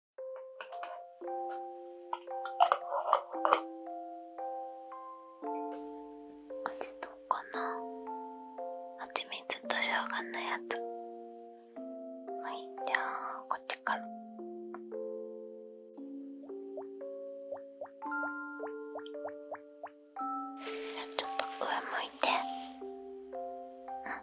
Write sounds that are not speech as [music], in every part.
あれどうかなはちみつとしょうがのやつはいじゃあこっちからちょっと上向いてうん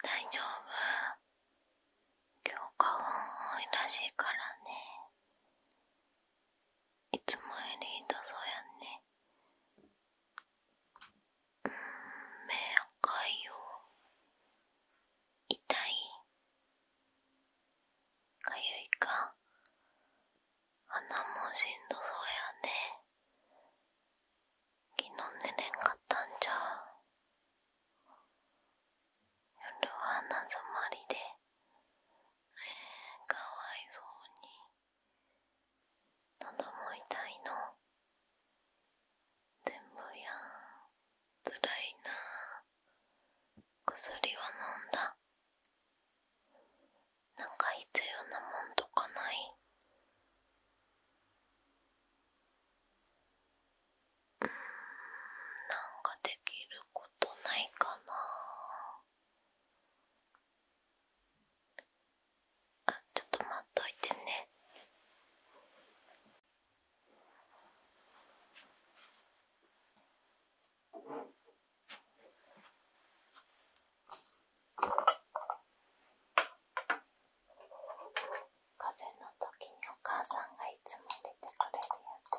大丈夫今日花粉多いらしいからねいつもよりひどそうやねうん、目赤いよ痛いかゆいか鼻もしんどそうやね昨日寝れんかったんじゃ夜は鼻づまりでええ、かわいそうに喉も痛いの全部やつらいな薬は飲んだなんか必要なもんとかないうんなんかできることないかなあちょっと待っといてね風の時にお母さんがいつも入れてくれるやつ。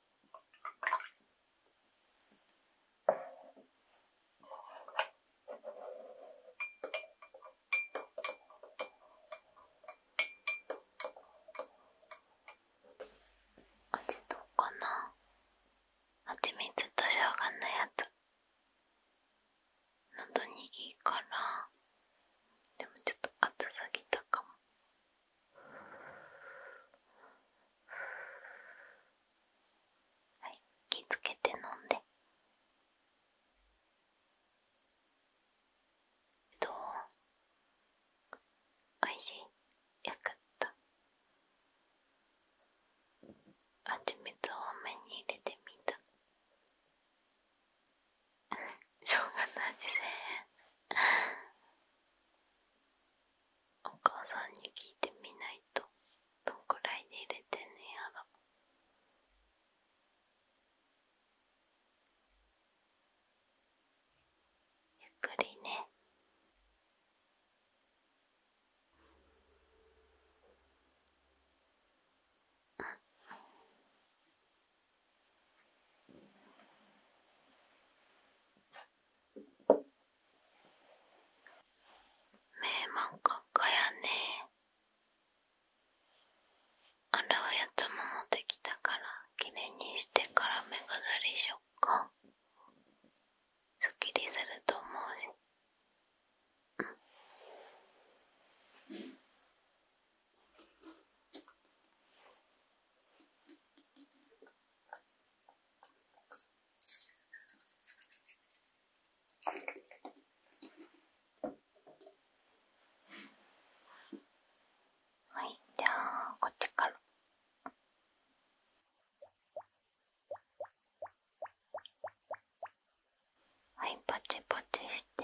味どうかなあちみつとしょうがのやつ喉にいいからでもちょっと熱すぎたかもはい気つけて飲んでどうおいしいよかった蜂蜜を多めに入れてみたしょうがないですねお母さんに聞いてみないとどんくらいで入れてんねやろゆっくりねあ。ん名門閣下やねあれうやつも持ってきたからきれいにしてから目薬しよっかすっきりすると思うしうんはいじゃあこっちから。はい、パチパチして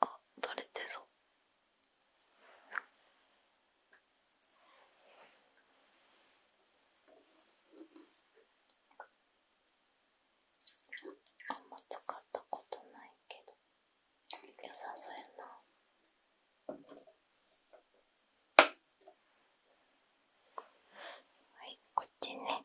あ取れてそうあんま使ったことないけど良さそうやな。はい、こっちね。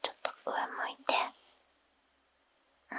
ちょっと上向いて、うん、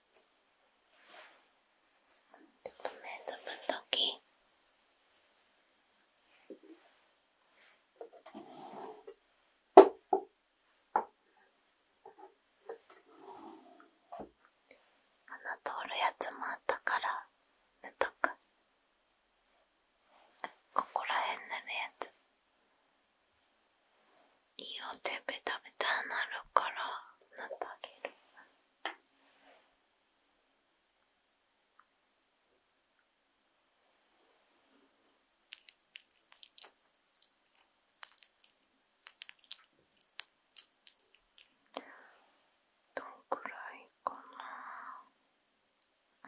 ちょっと目つぶっとき。穴通るやつもあったから寝たか。ここら辺塗るやついいおてべたべたなるからなってあげるどんくらいかな、う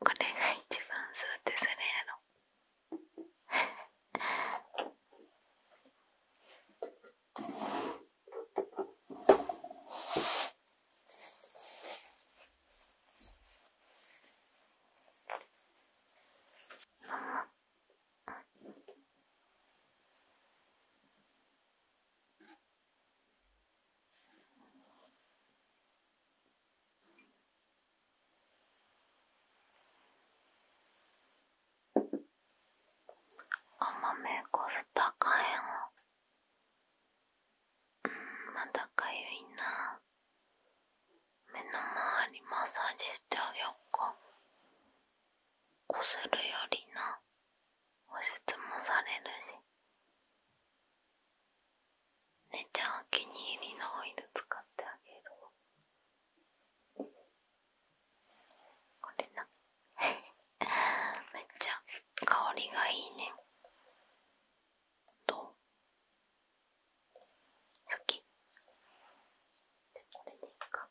これが一番スーってするやろあんま目こすったかんやうんまだかゆいな目の周りマッサージしてあげよっかこするよりなおせもされるしねちゃんお気に入りのオイル使ってあげるこれな [laughs] めっちゃ香りがいいねどう好きじゃ、これでいいか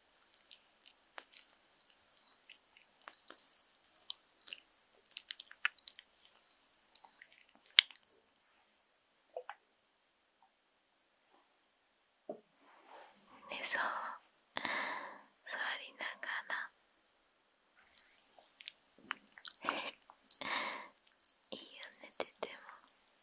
寝そう座りながらいいよねてても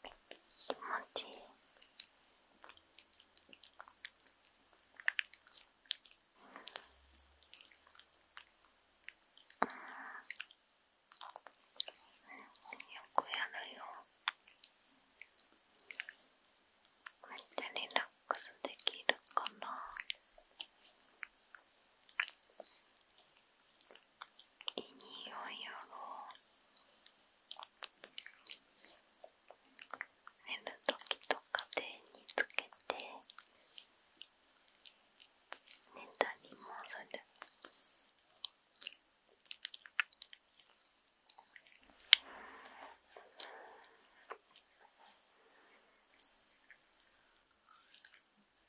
気持ちいいよくやるよこうやってリラックスできるかないい匂いやろ寝る時とか手につけて寝たりもするうん。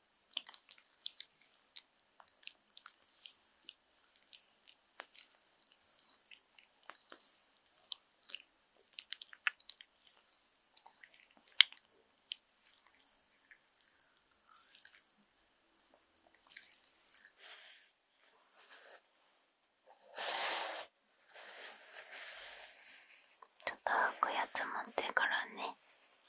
ちょっと吐くやつ持ってからね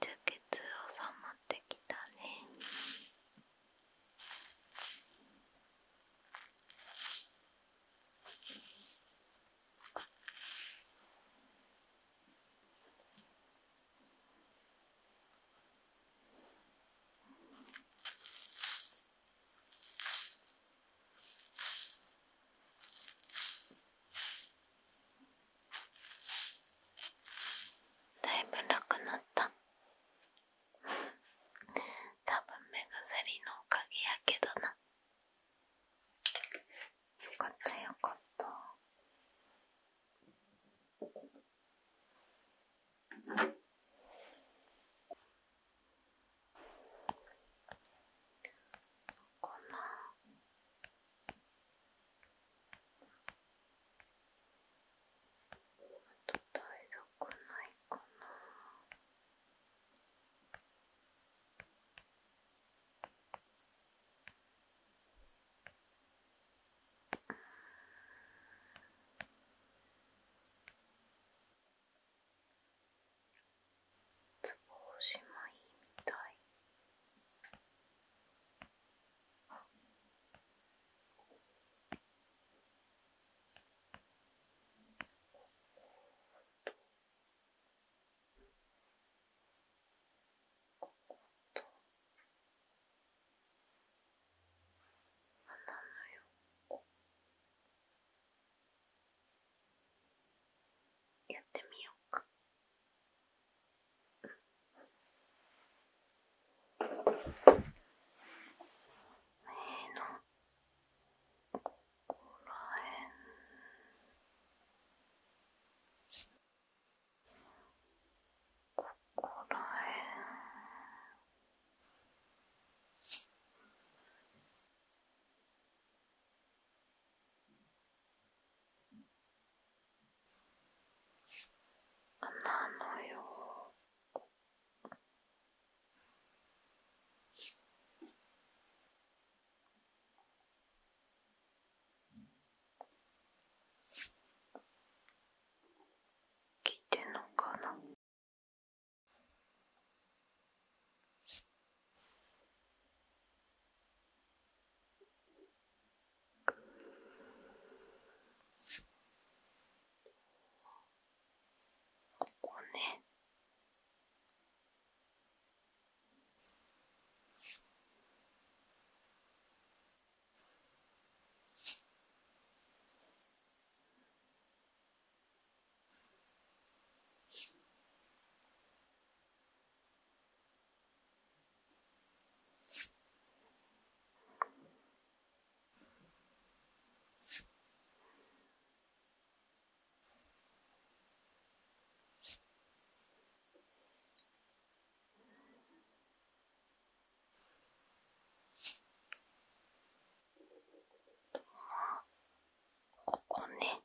充血収まってきたねだいぶなくなった。[laughs] 多分目薬のおかげやけどな。よかったよかった。かなあと台所ないかなツボ押しもいみたいこことここと。穴の横やってみようか。うん、目ん。ここらへんここらへんなのよ。聞いてんのかなここねここね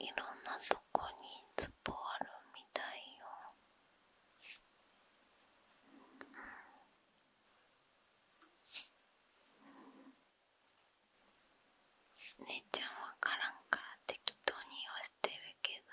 いろんなとこにツボあるみたいよ。姉ちゃん分からんから適当に言わしてるけど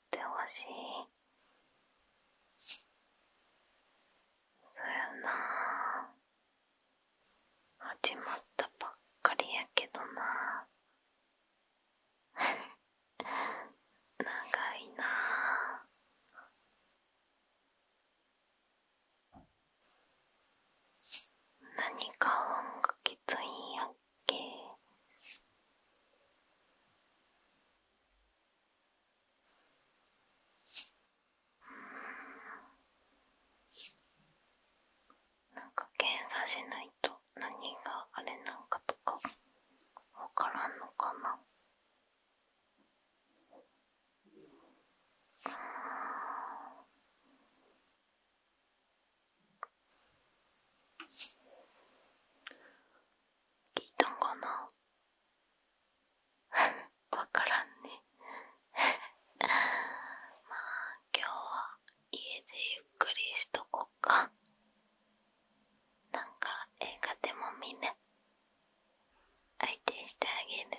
ってほしいそうよな始まったばっかりやけどな [laughs] 長いな何か音がきついんやうん。なんか検査しないと何があれなんかとかわからんのかな。うん聞いたんかな [laughs] わからんね [laughs] まあ今日は家でゆっくりしとこっかなんか映画でも見ね相手してあげる